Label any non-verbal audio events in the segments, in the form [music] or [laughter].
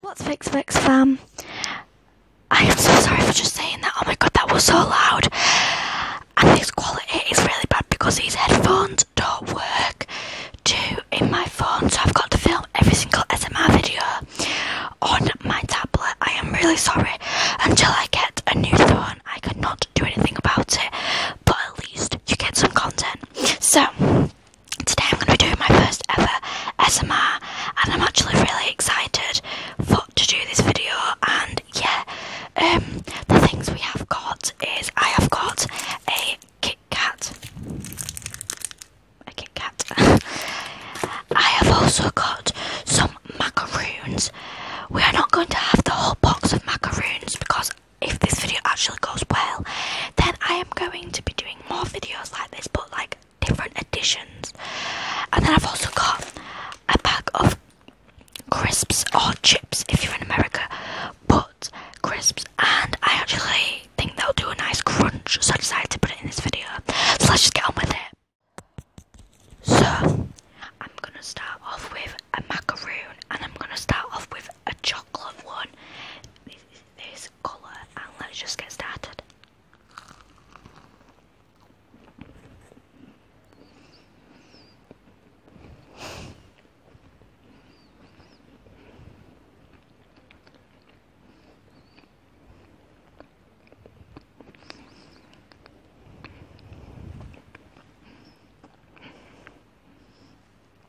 What's Fix Fix fam? I am so sorry for just saying that. Oh my god, that was so loud. And this quality is really bad because these headphones don't work too in my phone, so I've got to film every single SMR video on my tablet. I am really sorry. Until I get a new phone, I cannot do anything about it, but at least you get some content. So, Today I'm going to be doing my first ever SMR and I'm actually really excited to do this video and yeah, um, the things we have got is I have got a Kit Kat, a Kit Kat, [laughs] I have also got some macaroons, we are not going to have the whole box of macaroons because if this video actually goes well, then I am going to be doing more videos like this, but like different editions. And then I've also got a pack of crisps or chips if you're in America, but crisps. And I actually think they'll do a nice crunch, so I decided to put it in this video. So let's just get on with it. So I'm gonna start off with a macaroon, and I'm gonna start off with a chocolate one. This, colour, and let's just get started.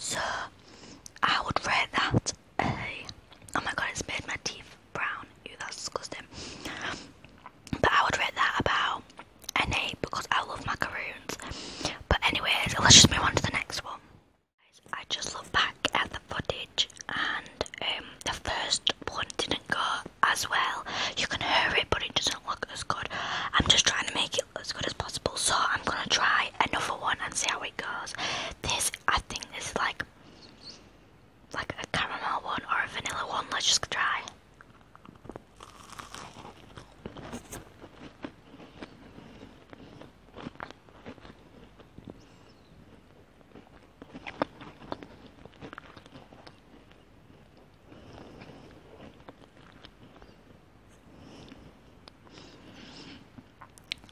Sir, I would rate that [clears throat] Oh my god, it's made my teeth brown. Ew, that's disgusting. But I would write that about an because I love macaroons. But, anyways, let's just move on to the next one. I just look back at the footage and um, the first one didn't go as well. You can hear it, but it doesn't look as good. I'm just trying to make it as good as possible, so I'm gonna try another one and see how it goes. This, I think, this is like like a caramel one or a vanilla one. Let's just try.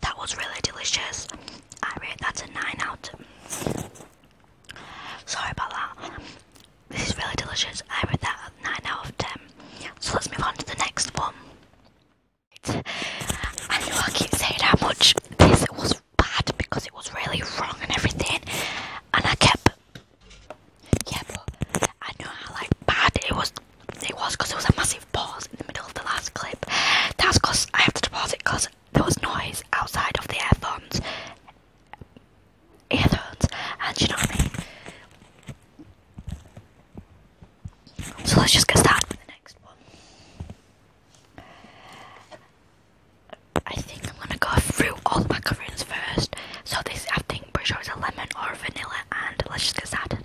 That was really delicious. I rate that's a 9 out. Sorry about that. This is really delicious. I rate that a 9 out of 10. So let's move on to the next one. I know I keep saying how much this was bad because it was really wrong and everything and I kept yeah but I know how like bad it was it was because there was a massive pause in the middle of the last clip that's because I have to pause it because there was noise outside of the earphones earphones and you know what I mean so let's just get started with the next one. I think I'm gonna go through all the macaroons first. So this, I think, pretty sure it's a lemon or vanilla, and let's just get started.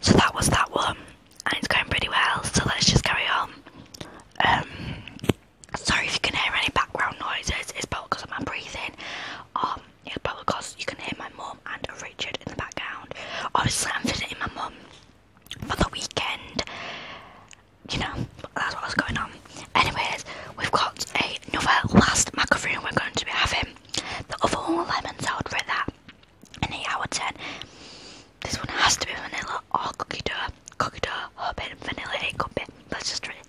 So that was that one, and it's going pretty well, so let's just carry on. Um, sorry if you can hear any background noises, it's probably because of my breathing. Um, it's probably because you can hear my mum and Richard in the background. Obviously, I'm visiting my mum for the weekend. You know, that's what's going on. Anyways, we've got another last macaroon we're going to be having. The other one was lemon sold for that. An 8 out 10. This one has to be vanilla or cookie dough. Cookie dough, or a bit vanilla, it could be. Let's just try it.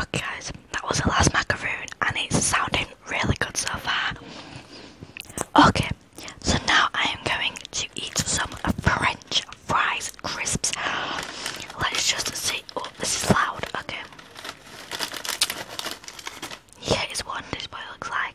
Okay, guys, that was the last macaroon, and it's sounding really good so far. Okay, so now I am going to eat some French fries crisps. Let's just see. Oh, this is loud. Okay. Yeah, it's one. This boy looks like.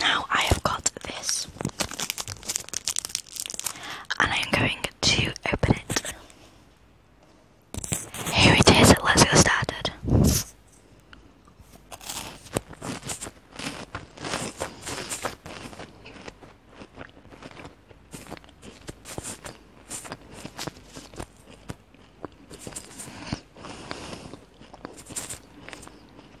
Now I have got this, and I am going to open it. Here it is, let's get started.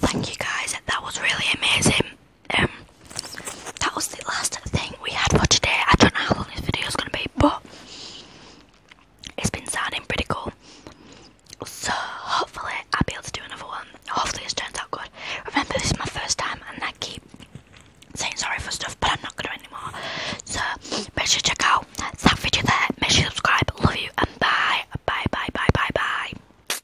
Thank you guys, that was really amazing um, that was the last thing we had for today. I don't know how long this video is going to be, but it's been sounding pretty cool. So hopefully I'll be able to do another one. Hopefully it turns out good. Remember, this is my first time, and I keep saying sorry for stuff, but I'm not going to anymore. So make sure you check out that video there. Make sure you subscribe. Love you, and bye, bye, bye, bye, bye, bye.